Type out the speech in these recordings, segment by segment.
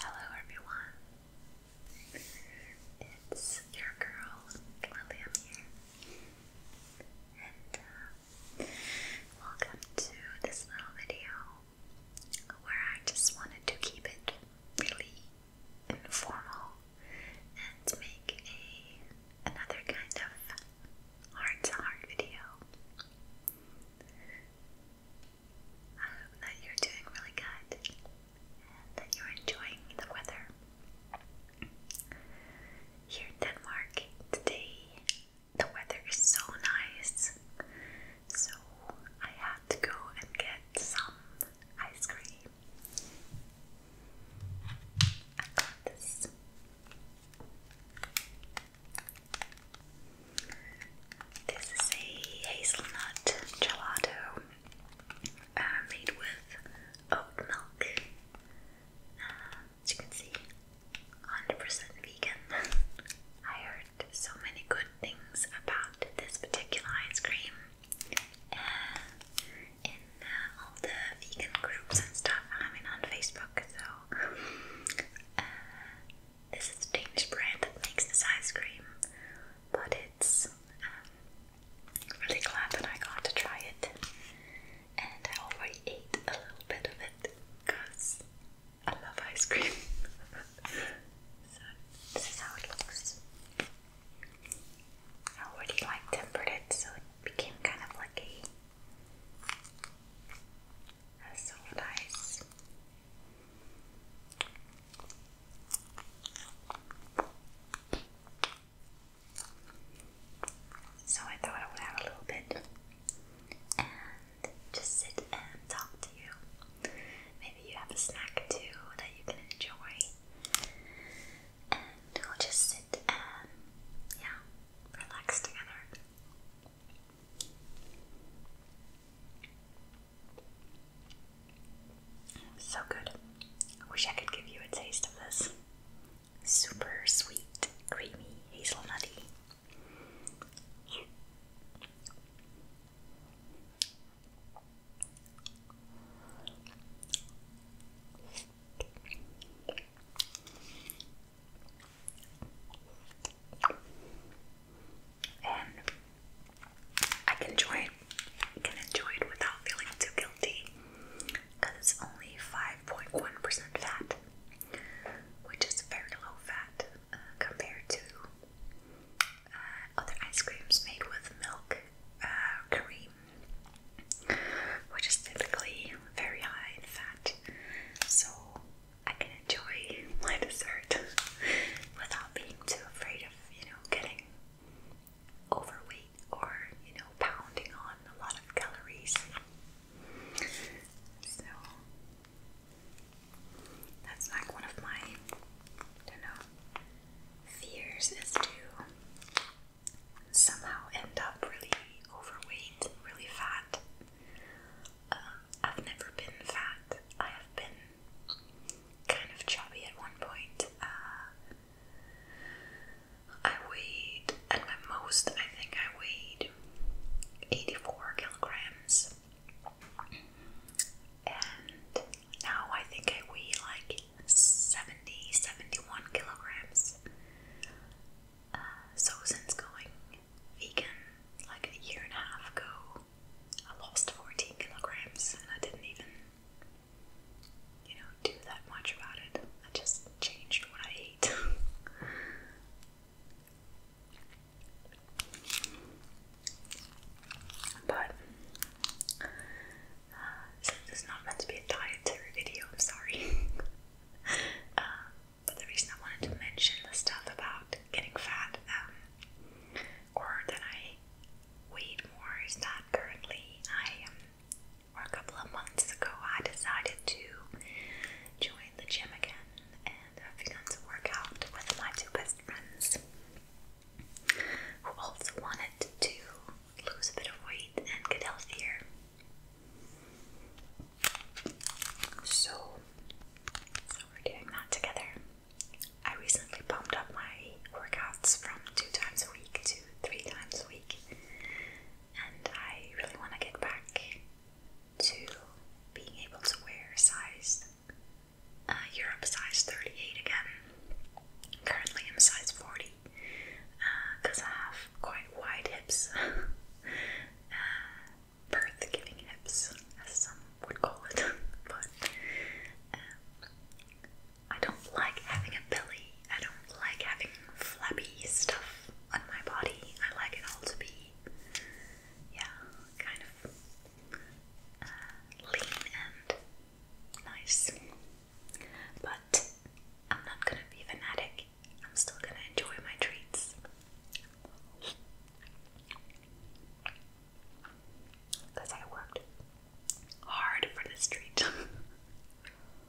Hello, everyone. It's your girl Lillian here, and uh, welcome to this little video where I just wanted to keep it really informal and make a another kind of heart to heart video. I hope that you're doing really good and that you're enjoying the weather. Here in Denmark today the weather is so nice, so I had to go and get some ice cream. I got this. This is a hazelnut gelato uh, made with oat milk. Uh, as you can see, 100% vegan. I so many good things about this particular ice cream in uh, all the vegan groups and stuff. I mean, on Facebook, so uh, this is the Danish brand that makes this ice cream, but it's. Um, really glad that I got to try it, and I already ate a little bit of it because I love ice cream. so, this is how it looks. I already like tempered it, so it became kind of like a, solid ice. So I thought I would have a little bit, just sit and talk to you. Maybe you have a snack too that you can enjoy. And we'll just sit and, yeah, relax together. So good. I wish I could give you a taste of this. Super sweet, creamy, hazelnutty. And I can enjoy it. I can enjoy it without feeling too guilty, because it's only five point one percent fat, which is very low fat uh, compared to uh, other ice creams made with milk uh, cream, which is typically very high in fat. So I can enjoy my dessert without being too afraid of, you know, getting overweight or, you know, pounding on a lot of calories. So that's like one of my, don't know, fears is to somehow end up really overweight, really fat. Um, I've never been fat. I have been kind of chubby at one point. Uh, I weighed, at my most, I think I weighed 84 kilograms. And now I think I weigh like 70, 71 kilograms. Uh, so since going vegan like a year and a half ago, I lost 14 kilograms and I didn't even, you know, do that much about it. I just changed what I ate. But uh, since not meant to be a dietary video, sorry. Uh, but the reason I wanted to mention the stuff about getting fat um, or that I weighed more is that currently I um, or a couple of months ago, I decided to joined the gym again and I've begun to work out with my two best friends who also wanted to lose a bit of weight and get healthier. So, we're doing that together. I recently bumped up my workouts from two times a week to three times a week, and I really want to get back to being able to wear size uh, Europe size 38 again. Currently, i size 40 because uh, I have quite wide hips, uh, birth giving hips, as some would call it. but um, I don't like having a belly, I don't like having Flabby stuff on my body. I like it all to be, yeah, kind of uh, lean and nice. But I'm not gonna be fanatic. I'm still gonna enjoy my treats. Because I worked hard for this treat.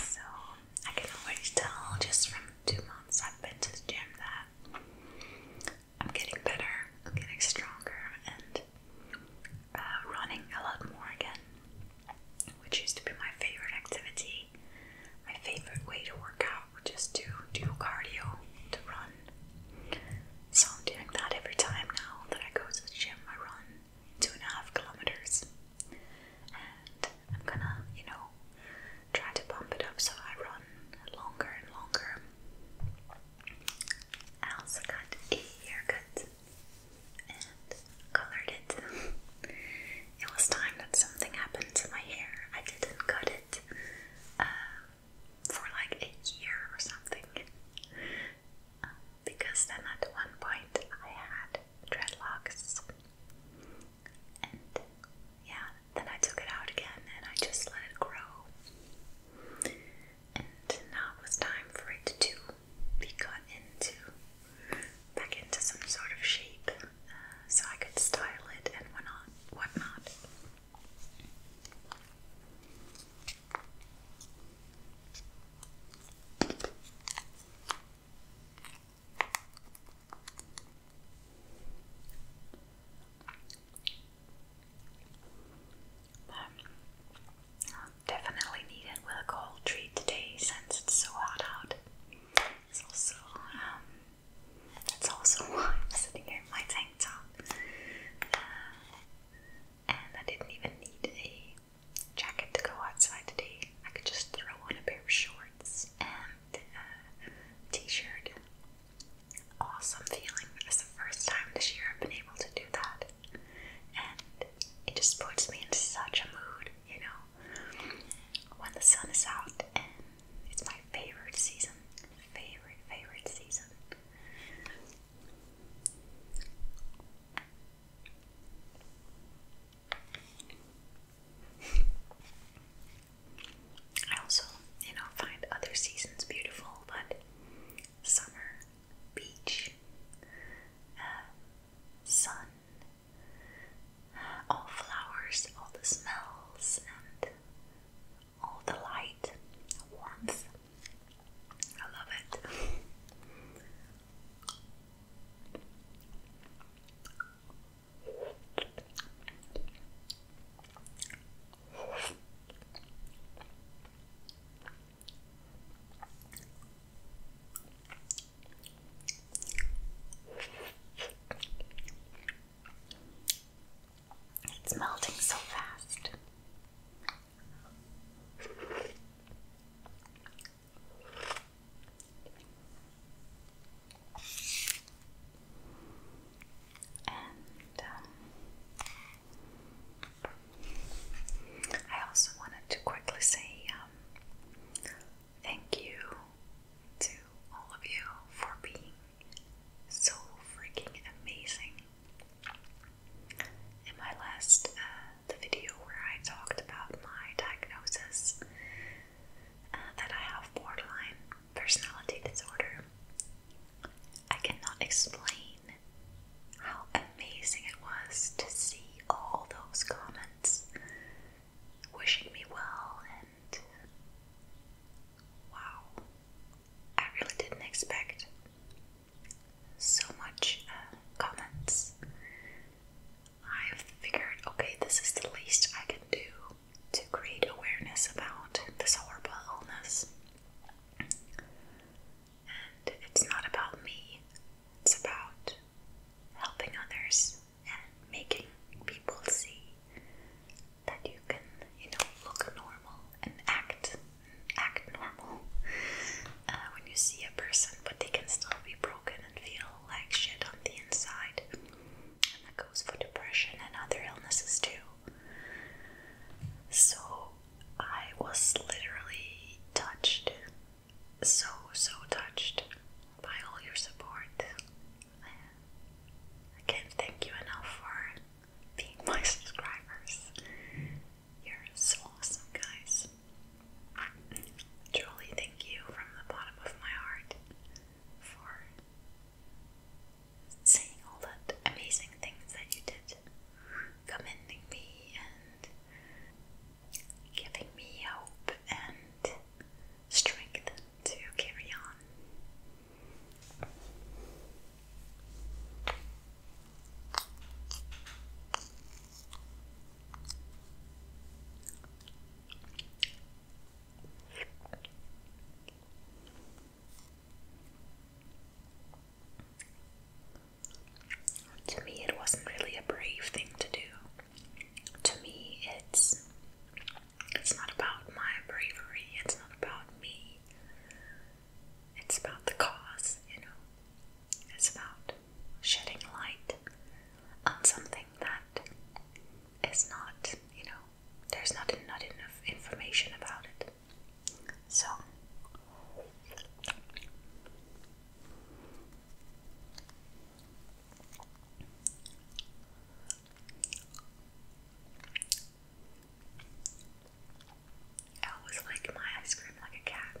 So I can always tell just from two months I've been to gym that I'm getting better, I'm getting stronger, and uh, running a lot more again, which used to be my favorite activity. My favorite way to work out, which is to do cardio, to run. So I'm doing that every time now that I go to the gym. I run two and a half kilometers. I'm gonna, you know, try to bump it up so I run longer and longer. I also got a haircut and colored it. it was time that something happened to my hair. I didn't cut it uh, for like a year or something. Uh, because then at one point I had dreadlocks and yeah, then I took it out again and I just let it grow. And now it was time for it to be cut into back into some sort of shape uh, so I could style it and whatnot whatnot i definitely need it with a cold treat today since it's so hot out. It's also um, that's also I'm sitting here in my tank top, uh, and I didn't even need a jacket to go outside today. I could just throw on a pair of shorts and a uh, t-shirt. Awesome feeling. It's the first time this year I've been able to do that. And it just puts me in such a mood, you know, when the sun is out and it's my favorite season. Favorite, favorite season. I also, you know, find other seasons beautiful, but summer, beach, uh, sun, all flowers, all the smells, and all the light, warmth. I love it. It's melting so fast. And um, I also wanted to quickly say um, thank you to all of you for being so freaking amazing. In my last uh, the video where I talked about my diagnosis uh, that I have borderline personality disorder. I cannot explain how amazing it was to see all those comments wishing me well and wow. I really didn't expect so much uh, comments. I've figured, okay, this is the least I can do to create awareness about this horrible illness. And it's not about me, it's about helping others and making people see that you can, you know, look normal and act act normal uh, when you see a person, but they can still be broken and feel like shit on the inside. And that goes for depression and other illnesses too. So I was literally touched, so, so touched by all your support. I can't thank you enough for being my subscribers you're so awesome, guys. Truly, thank you from the bottom of my heart for saying all that amazing things that you did, commending me and giving me hope and strength to carry on. To me, it wasn't really a brave thing to do. To me, it's it's not about my bravery. It's not about me. It's about the cause, you know. It's about shedding light on something that is not, you know, there's not, not enough information about it. So, I always like my ice cream like a cat.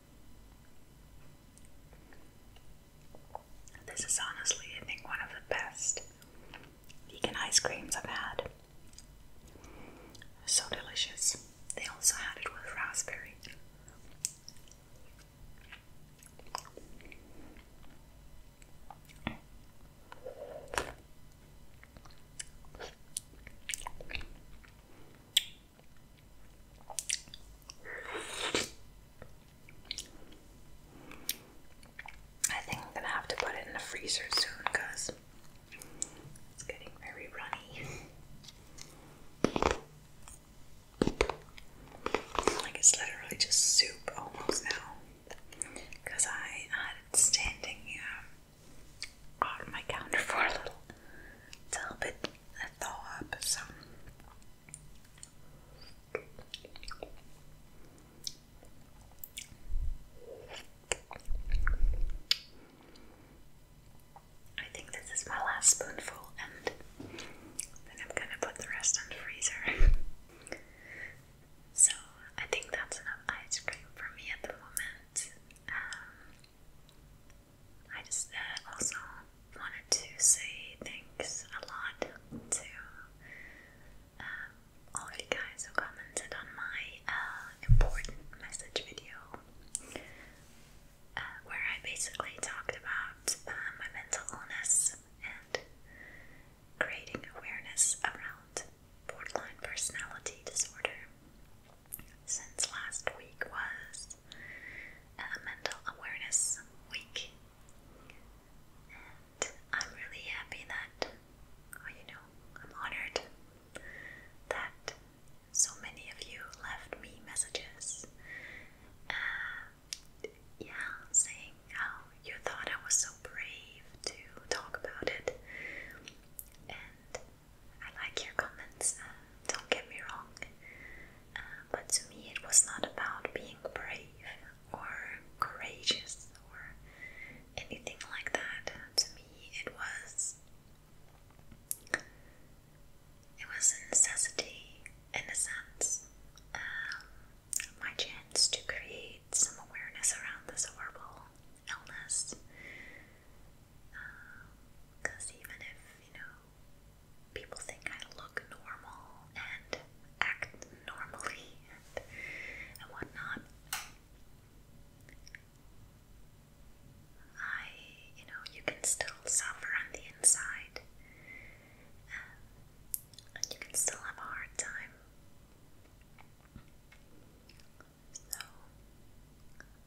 This is honestly, I think, one of the best vegan ice creams I've had. So delicious. They also had it with raspberry. I think I'm gonna have to put it in the freezer soon because it's getting very runny. Like it's literally just soup almost now because I had it standing um, on my counter for a little, little bit thaw up some. I think this is my last spoonful, and then I'm gonna put the rest in the freezer. so, I think that's enough ice cream for me at the moment. Um, I just uh, also wanted to say thanks a lot to um, all of you guys who commented on my uh, important message video, uh, where I basically talked about um, my mental illness and creating awareness around borderline personality disorder. Since last week was is uh, Mental Awareness Week, I'm really happy that, oh, you know, I'm honored that so many of you left me messages. Uh, yeah, saying how you thought I was so brave to talk about it, and I like your comments, um, don't get me wrong, uh, but to me it was not about being brave or courageous or anything like that. to me, it was it was a necessity in a sense. Um, my chance to create some awareness around this horrible illness. Because um, even if, you know, people think I look normal and act normally and, whatnot, I, you know, you can still suffer on the inside. and you can still have a hard time. So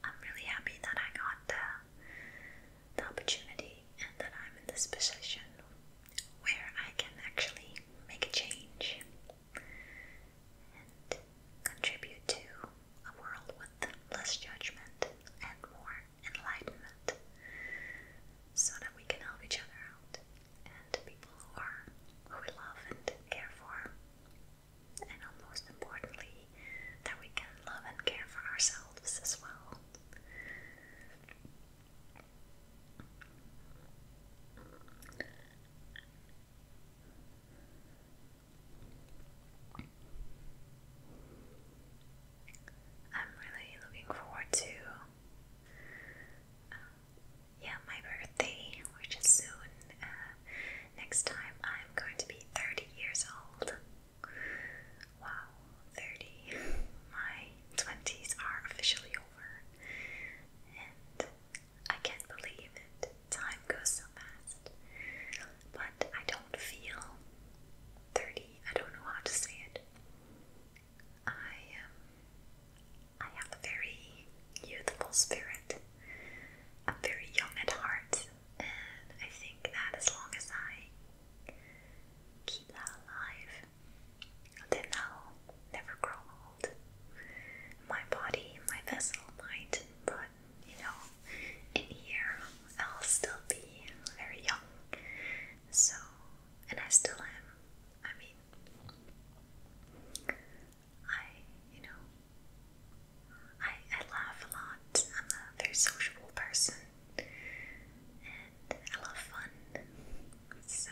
I'm really happy that I got the, opportunity and that I'm in this position where I can actually make a change and contribute to a world with less judgment and more enlightenment so that we can help each other out and people who we love and care for and most importantly, that we can love and care for ourselves as well. I'm really looking forward to uh, yeah my birthday, which is soon, Next time I'm going to be 30 years old. Wow, 30. My 20s are officially over. And I can't believe it. Time goes so fast. But I don't feel 30. I don't know how to say it. I um, I have a very youthful spirit. I'm very young at heart, and I think that as long as I keep that alive, then I'll never grow old. My body, my vessel might, but you know, in here I'll still be very young. So, and I still am. I mean, I, you know, I, I laugh a lot. I'm a very sociable person and I love fun. So,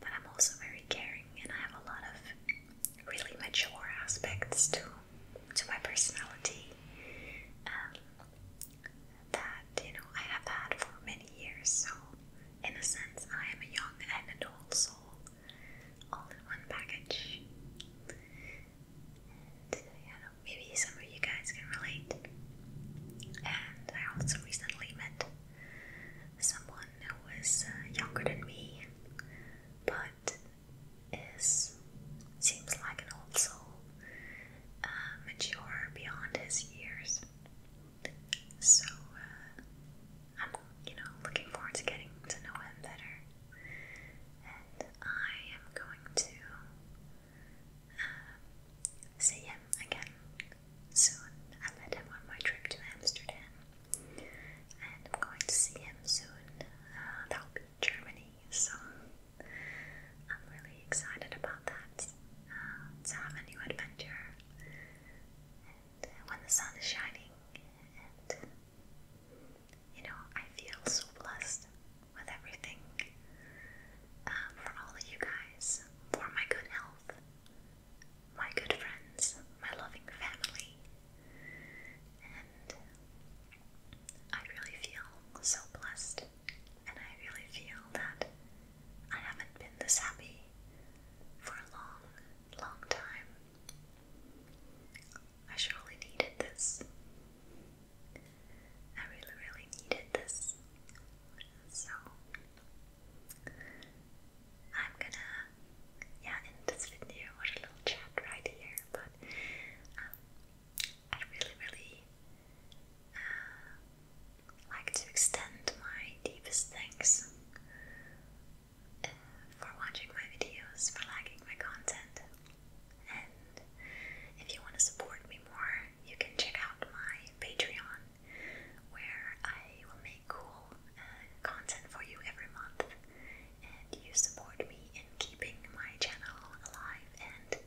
but I'm also very caring and I have a lot of really mature aspects to, to my personality um, that, you know, I have had for many years. So, in a sense, I am a young and adult soul all in one package. And uh, maybe some of you guys can relate. And I also recently met someone who was uh, younger than me, but is seems like an old soul, uh, mature beyond his years. So I'm, you know, looking forward to getting to know him better. And I am going to uh, see him again soon. I met him on my trip to Amsterdam. And I'm going to see him soon. Uh, that'll be Germany, so I'm really excited about that. to uh, have a new adventure when the sun is shining, and you know, I feel so blessed with everything um, for all of you guys, for my good health, my good friends, my loving family, and I really feel so blessed, and I really feel that I haven't been this happy for a long, long time. I surely needed this. I really, really needed this. So, I'm gonna, yeah, end this video or a little chat right here, but um, I really, really uh, like to extend my deepest thanks uh, for watching my videos, for liking my content. And if you want to support me more, you can check out my Patreon, where I will make cool uh, content for you every month. And you support me in keeping my channel alive and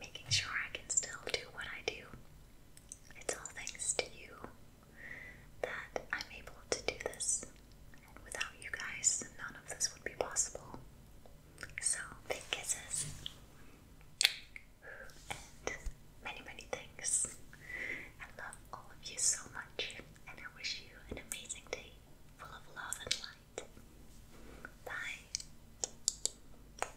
making sure I can still do what I do. It's all thanks to you that I'm able to do this. And without you guys, none of this would be possible. So, big kisses. And many, many thanks. I love all of you so much, and I wish you an amazing day full of love and light. Bye.